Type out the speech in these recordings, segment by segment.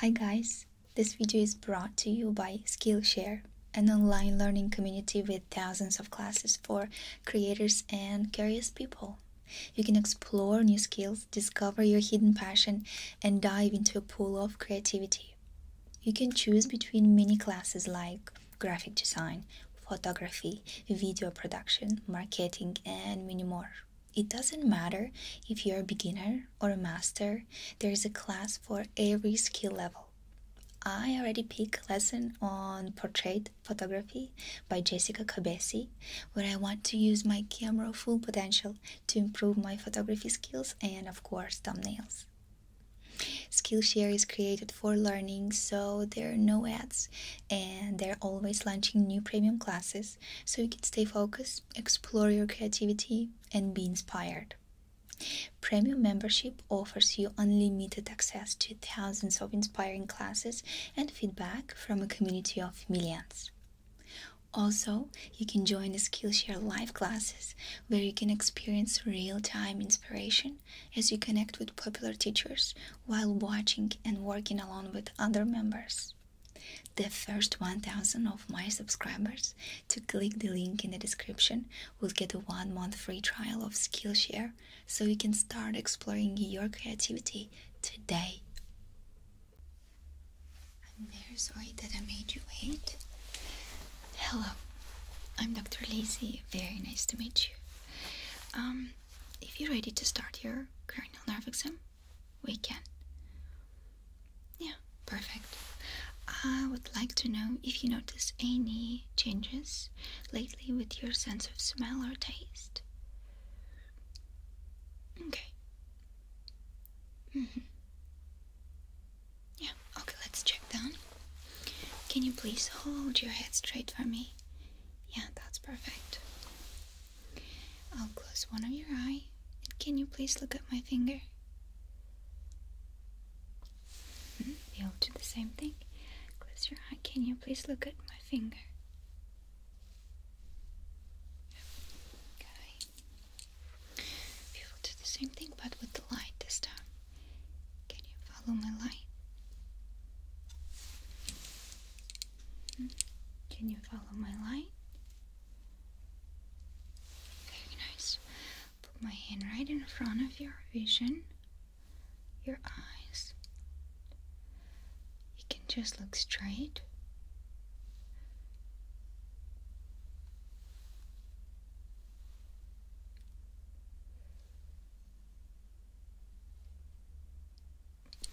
Hi guys, this video is brought to you by Skillshare, an online learning community with thousands of classes for creators and curious people. You can explore new skills, discover your hidden passion, and dive into a pool of creativity. You can choose between many classes like graphic design, photography, video production, marketing, and many more. It doesn't matter if you're a beginner or a master, there is a class for every skill level. I already picked a lesson on portrait photography by Jessica Cabesi, where I want to use my camera full potential to improve my photography skills and, of course, thumbnails. Skillshare is created for learning, so there are no ads, and they're always launching new premium classes so you can stay focused, explore your creativity, and be inspired. Premium membership offers you unlimited access to thousands of inspiring classes and feedback from a community of millions. Also, you can join the Skillshare live classes where you can experience real time inspiration as you connect with popular teachers while watching and working along with other members. The first 1000 of my subscribers to click the link in the description will get a one month free trial of Skillshare so you can start exploring your creativity today. I'm very sorry that I made you wait. Hello, I'm Dr. Lacey. Very nice to meet you. Um, if you're ready to start your cranial nerve exam, we can. Yeah, perfect. I would like to know if you notice any changes lately with your sense of smell or taste. Okay. Mm-hmm. Yeah, okay, let's check down. Can you please hold your head straight for me? Yeah, that's perfect. I'll close one of your eye. can you please look at my finger? Hmm, you'll do the same thing. Close your eye. Can you please look at my finger? Okay. We will do the same thing, but with the light this time. Can you follow my light? Hmm, can you follow my light? Very nice. Put my hand right in front of your vision, your eyes. You can just look straight.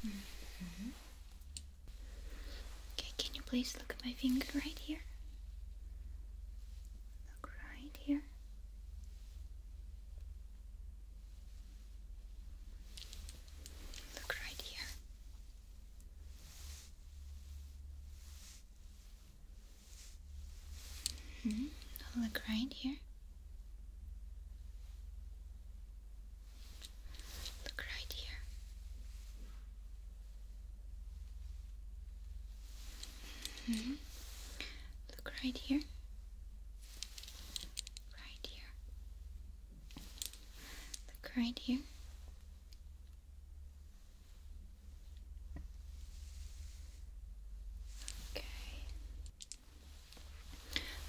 Mm-hmm. Okay, can you please look at my finger right here? Look right here. Look right here. -hmm. Look right here. Look right here. -hmm. Look right here. Right here. Look right here. Okay.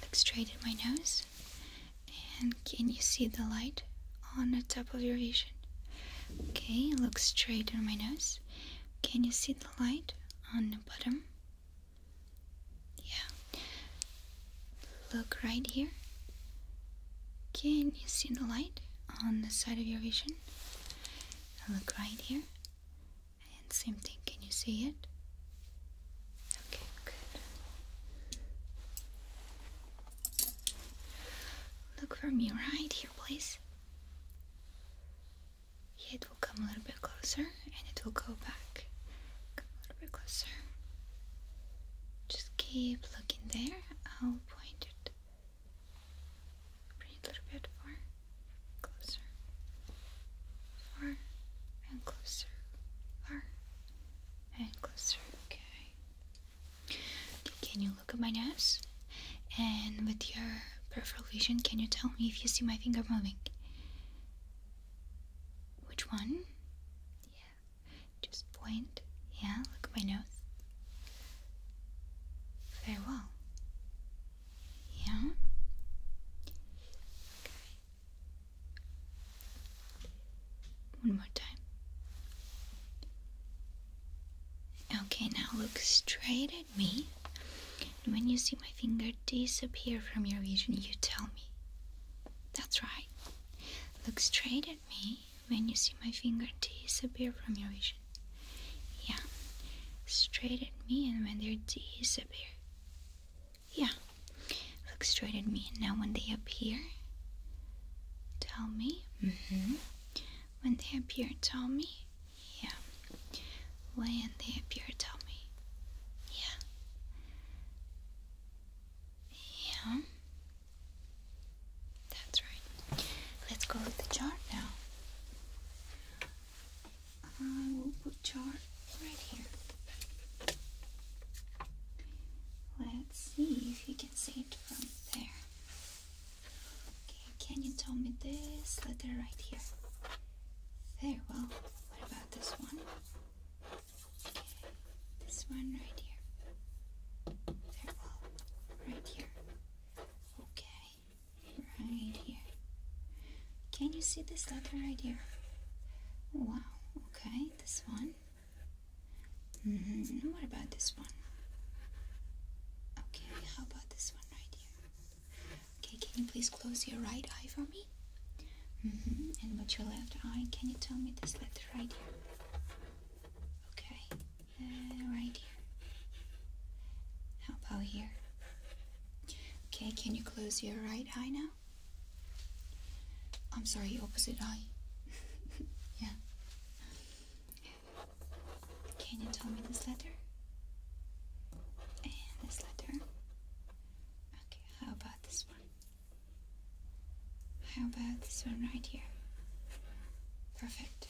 Look straight at my nose. And can you see the light on the top of your vision? Okay, look straight on my nose. Can you see the light on the bottom? Yeah. Look right here. Can you see the light on the side of your vision? Look right here. And same thing, can you see it? Look for me right here, please. Yeah, it will come a little bit closer and it will go back. Come a little bit closer. Just keep looking there. I'll point it. Bring it a little bit far. Closer. Far and closer. Far and closer. Okay. Can you look at my nose? And with your peripheral vision, can you tell me if you see my finger moving? Which one? Yeah. Just point. Yeah, look at my nose. Very well. Yeah. Okay. One more time. Okay, now look straight at me. when you see my finger disappear from your vision, you tell me. That's right. Look straight at me when you see my finger disappear from your vision. Yeah. Straight at me and when they disappear. Yeah. Look straight at me. Now, when they appear, tell me. Mm-hmm. When they appear, tell me. Yeah. When they appear, tell me. Yeah. Yeah. That's right. Let's go with the chart now. I uh, will put chart right here. Let's see if you can see it from there. Okay, can you tell me this letter right here? Very well. What about this one? Okay, this one right here. Very well. Right here. Okay, right here. Can you see this letter right here? Wow, okay, this one. Mm -hmm. What about this one? Okay, how about this one right here? Okay, can you please close your right eye for me? Mm -hmm. And with your left eye, can you tell me this letter right here? Okay, uh, right here. How about here? Okay, can you close your right eye now? I'm sorry, opposite eye. yeah. Can you tell me this letter? And this letter. Okay, how about this one? How about this one right here? Perfect.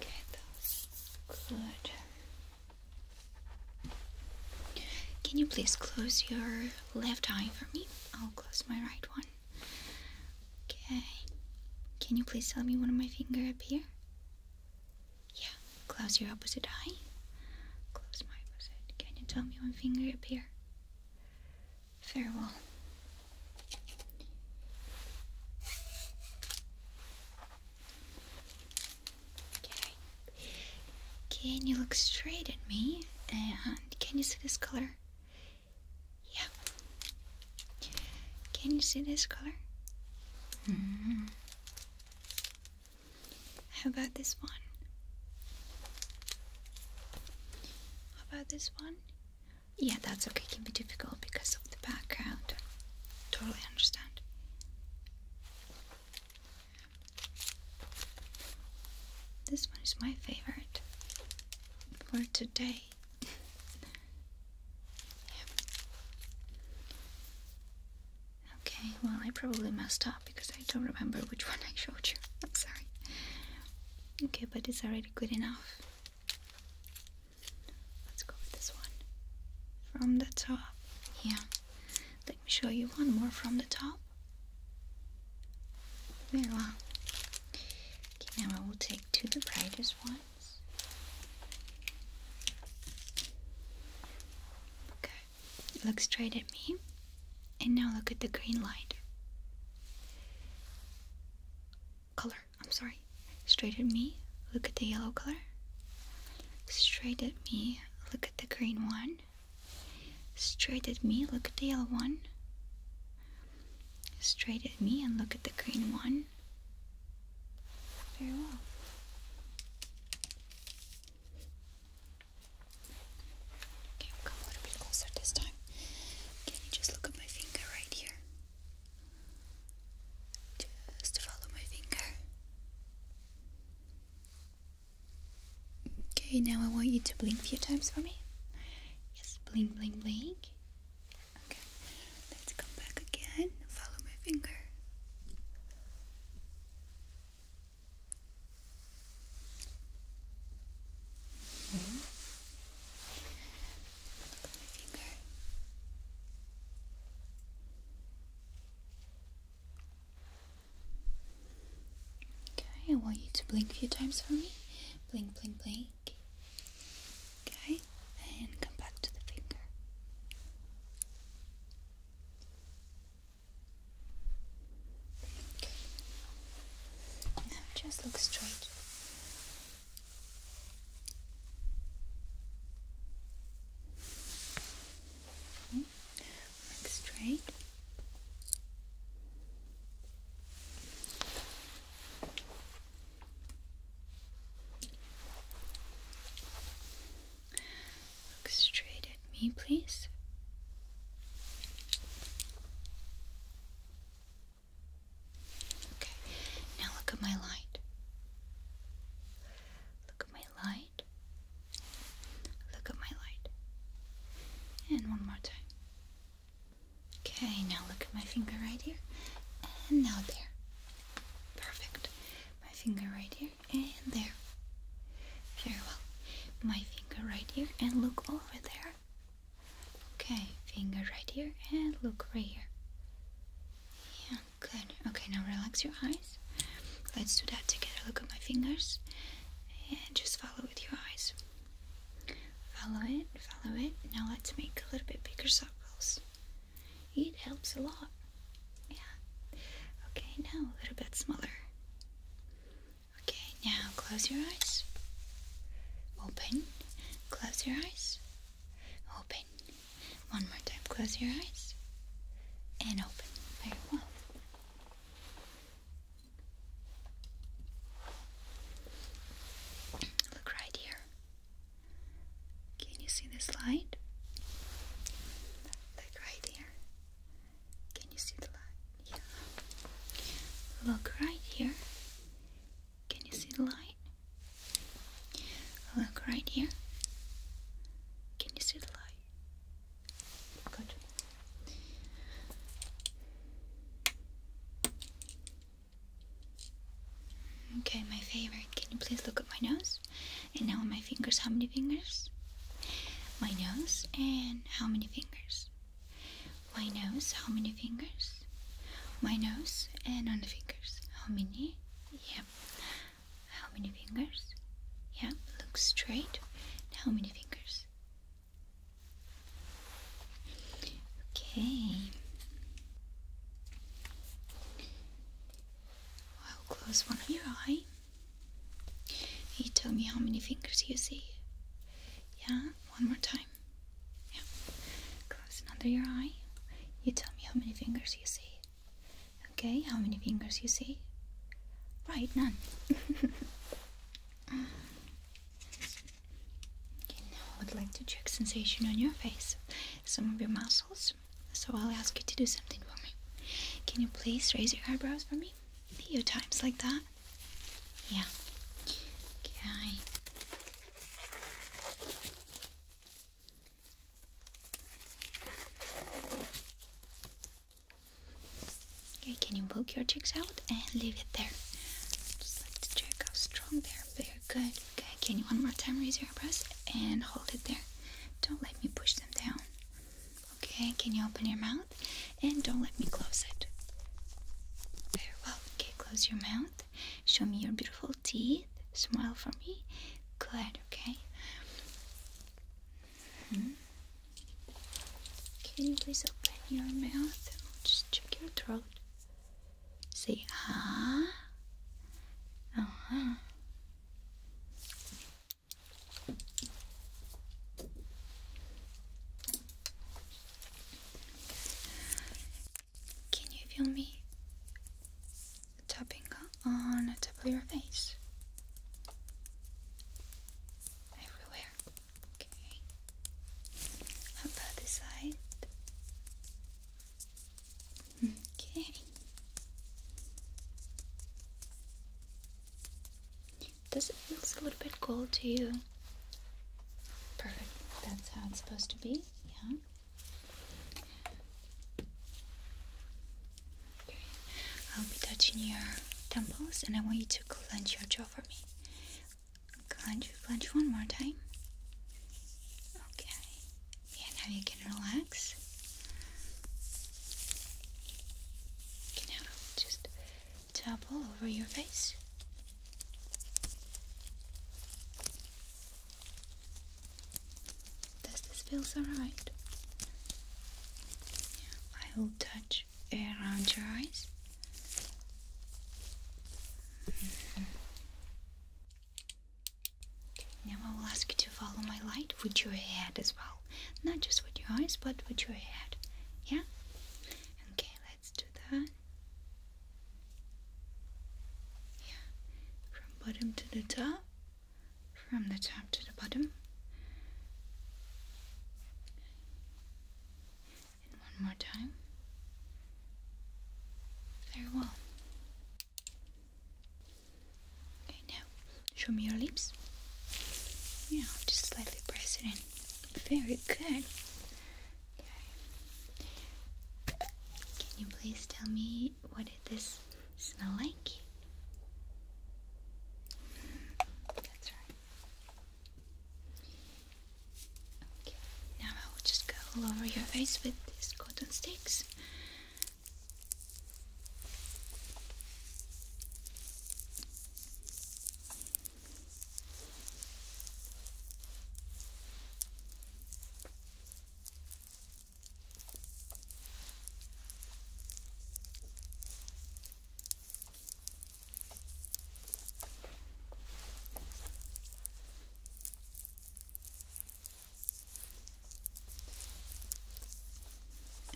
Get those. Good. Can you please close your left eye for me? I'll close my right one. Okay. Can you please tell me when my finger up here? Yeah. Close your opposite eye. Close my opposite. Can you tell me when finger up here? Farewell. Okay. Can you look straight at me? And can you see this color? Yeah. Can you see this color? Hmm. How about this one? How about this one? Yeah, that's okay. It can be difficult because of the background. Totally understand. This one is my favorite for today. Okay, well, I probably messed up because I don't remember which one I showed you. I'm sorry. Okay, but it's already good enough. Let's go with this one. From the top. Yeah. Let me show you one more from the top. There we go. now we will take two the brightest ones. Okay, look straight at me. And now look at the green light. Color. I'm sorry. Straight at me, look at the yellow color. Straight at me, look at the green one. Straight at me, look at the yellow one. Straight at me and look at the green one. Very well. Okay, come a little bit closer this time. Can you just look at my finger right here? Just follow my finger. Okay, now I want you to blink a few times for me. Yes, blink, blink, blink. Okay, let's come back again. Follow my finger. Okay, I want you to blink a few times for me. Blink, blink, blink. Okay, and come back to the finger. Okay. just look straight. Look straight. Look straight at me, please. Okay, now look at my light. Look at my light. Look at my light. And one more time. Okay, now look at my finger right here. And now there. Perfect. My finger right here and there. Very well. My finger right here and look over there. Okay, finger right here and look right here. Yeah, good. Okay, now relax your eyes. Let's do that together. Look at my fingers and just follow with your eyes. Follow it, follow it. Now let's make a little bit bigger circles. It helps a lot. Yeah. Okay, now a little bit smaller. Okay, now close your eyes. Open. Close your eyes. Open. One more time. Close your eyes and open. Very well. Look right here. Can you see this light? Look right here. Can you see the light? Yeah. Look right here. Can you see the light? Look right here. Can you see the light? Good. Okay, my favorite. Can you please look at my nose? And now my fingers. How many fingers? My nose. And how many fingers? My nose. How many fingers? my nose, and on the fingers. How many? Yeah. How many fingers? Yeah, look straight. How many fingers? Okay. I'll close one of your eye. You tell me how many fingers you see. Yeah, one more time. Yeah. Close under your eye. You tell me how many fingers you see. Okay, how many fingers you see? Right, none. okay, now I would like to check sensation on your face, some of your muscles. So I'll ask you to do something for me. Can you please raise your eyebrows for me? Your times like that? Yeah. Okay. Okay, can you poke your cheeks out and leave it there? Just like to check how strong they are. Very good. Okay, can you one more time raise your breast and hold it there? Don't let me push them down. Okay, can you open your mouth and don't let me close it? Very well. Okay, close your mouth Show me your beautiful teeth. Smile for me. Good, okay. Hmm. Can you please open your mouth? i just check your throat. Say ah. Uh can you feel me tapping on the top of your face? Everywhere. Okay. about this side? Okay. Does it feel a little bit cold to you? Perfect. That's how it's supposed to be. Yeah. I'll be touching your temples and I want you to clench your jaw for me. Clench, clench one more time. Okay. Yeah, now you can relax. Okay, now just tap all over your face. Does this feel alright? I will touch around your eyes. Mm-hmm. Now I will ask you to follow my light with your head as well. Not just with your eyes, but with your head. Yeah? Okay, let's do that. Yeah, from bottom to the top, from the top to the bottom. one more time. Very well. Okay, now show me your lips. Yeah, just slightly press it in. Very good. Can you please tell me what did this smell like? That's right. Okay. Now I will just go all over your face with these cotton sticks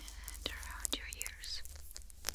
and around your ears. Good.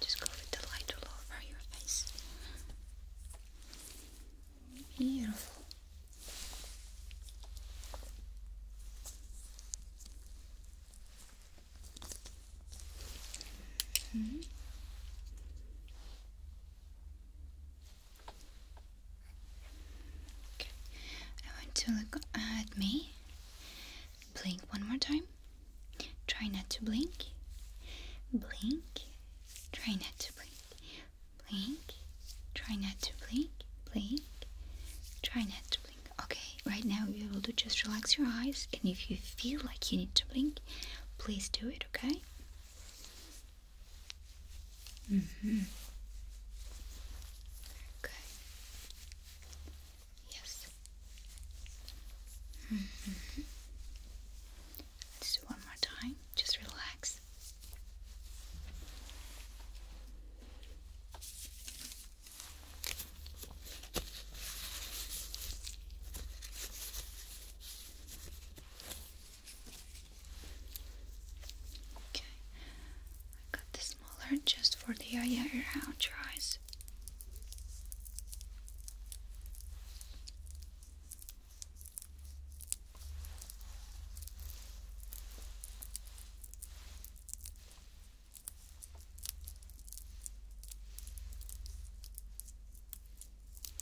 Just go with the light all over your face. Beautiful. -hmm. I want to look at me. Blink one more time. Try not to blink. Blink. Try not to blink. Blink. Try not to blink. Blink. Try not to blink. Okay, right now you are able to just relax your eyes and if you feel like you need to blink, please do it, okay? Mm-hmm. Okay. Yes. Let's mm-hmm. do one more time. Just relax. Okay, I got the smaller just for the eye around your eyes.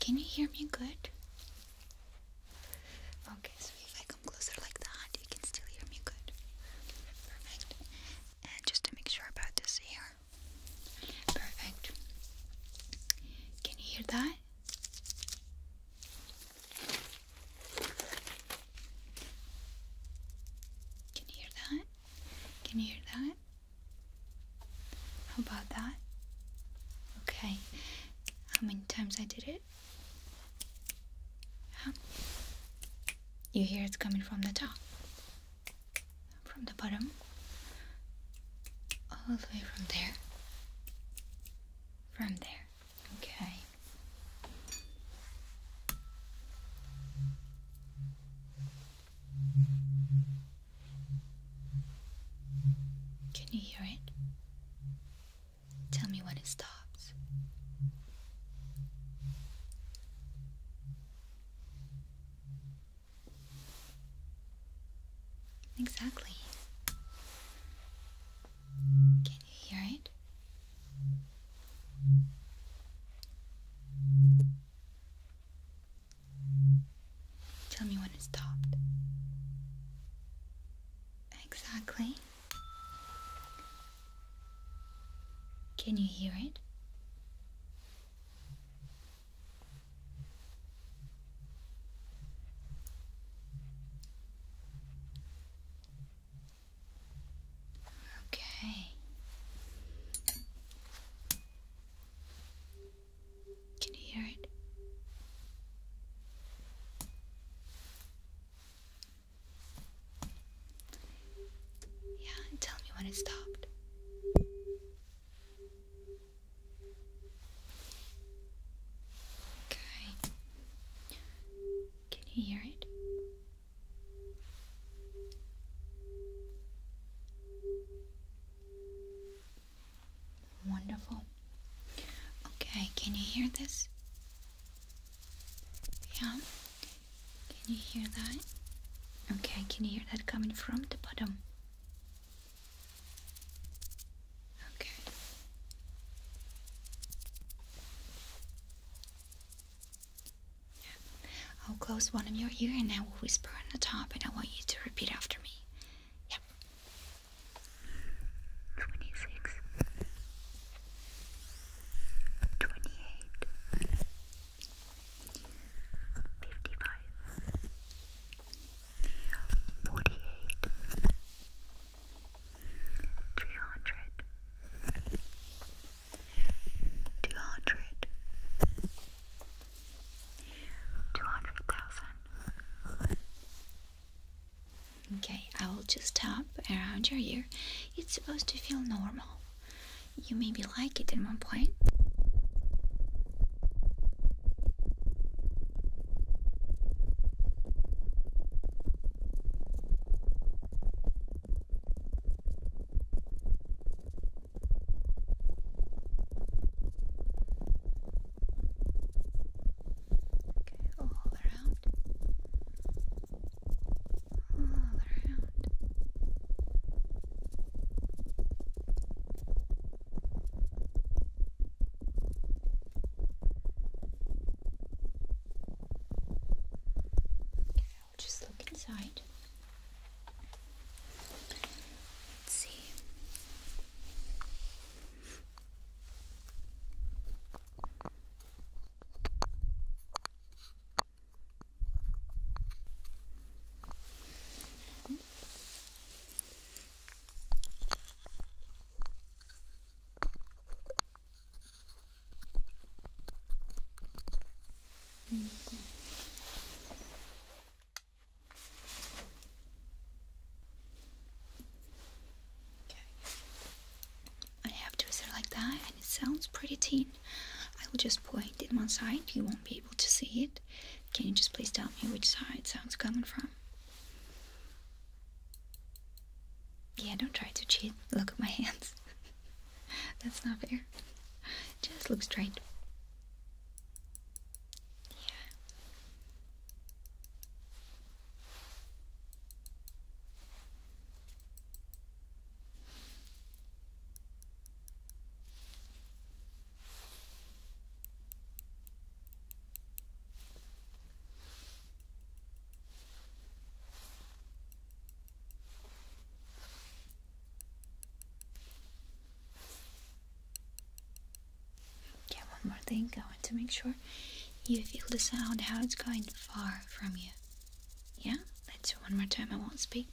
Can you hear me good? Okay, so if I come closer like that, you can still hear me good. Perfect. And just to make sure about this ear. Perfect. Can you hear that? Can you hear that? Can you hear that? How about that? Okay. How many times I did it? You hear it's coming from the top. From the bottom. All the way from there. From there. Okay. Can you hear it? Tell me when it stops. Exactly. Can you hear it? Tell me when it stopped. Exactly. Can you hear it? Okay. Can you hear it? Yeah, tell me when it stopped. Okay. Can you hear it? Wonderful. Okay, can you hear this? Yeah? Can you hear that? Okay, can you hear that coming from the bottom? Okay. Yeah. I'll close one of your ear and I will whisper on the top and I want you to repeat after me. Yep. 26 28 55 48 three hundred, two hundred, two hundred thousand. Okay, I will just tap around your ear. It's supposed to feel normal. You may be like it at one point. Okay, all around. All around. I'll just look inside. Let's see. Mm -hmm. I have to it like that, and it sounds pretty tin. I will just point it one side. You won't be able to see it. Can you just please tell me which side sounds coming from? Yeah, don't try to cheat. Look at my hands. That's not fair. Just look straight. Yeah. Yeah, one more thing. I want to make sure you feel the sound, how it's going far from you. Yeah? Let's do one more time. I won't speak.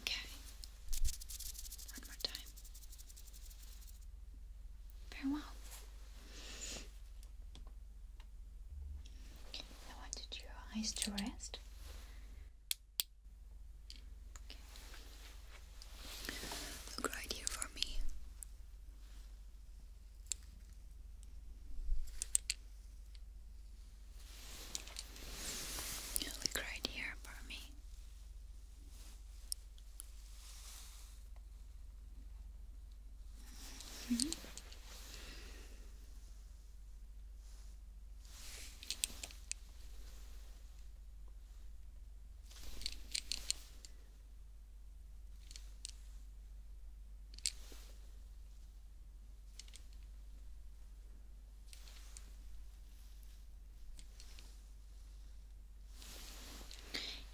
Okay. One more time. Very well. I wanted your eyes to rest. Look right here for me. You look right here for me.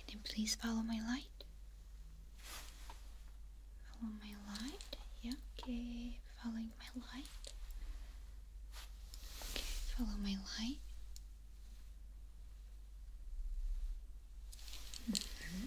And then please follow my light. Follow my light. Yeah, okay. Following my light. Okay, follow my light. Mm-hmm.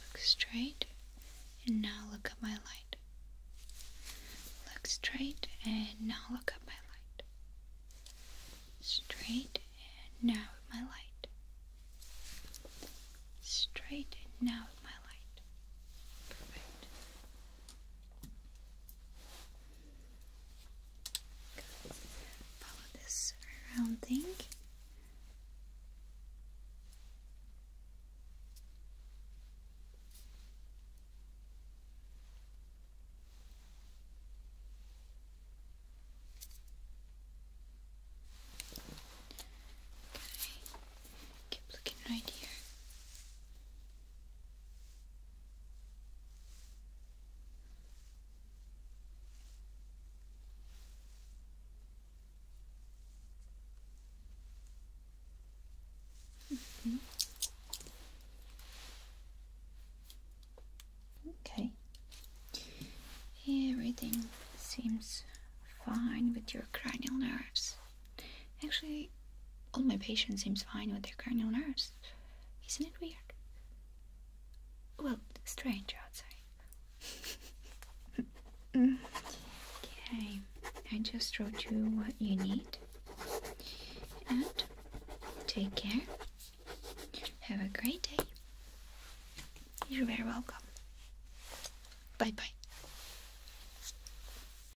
look straight and now look at my light. Look straight and now look at my light. Straight and now at my light. Straight and now at my light. Perfect. Follow this rounding. Okay. Keep looking right here. Okay, everything seems fine with your cranial nerves. Actually, all my patients seem fine with their cranial nerves. Isn't it weird? Well, strange, I'd say. okay, I just wrote you what you need. And take care. Have a great day. You're very welcome. Bye bye.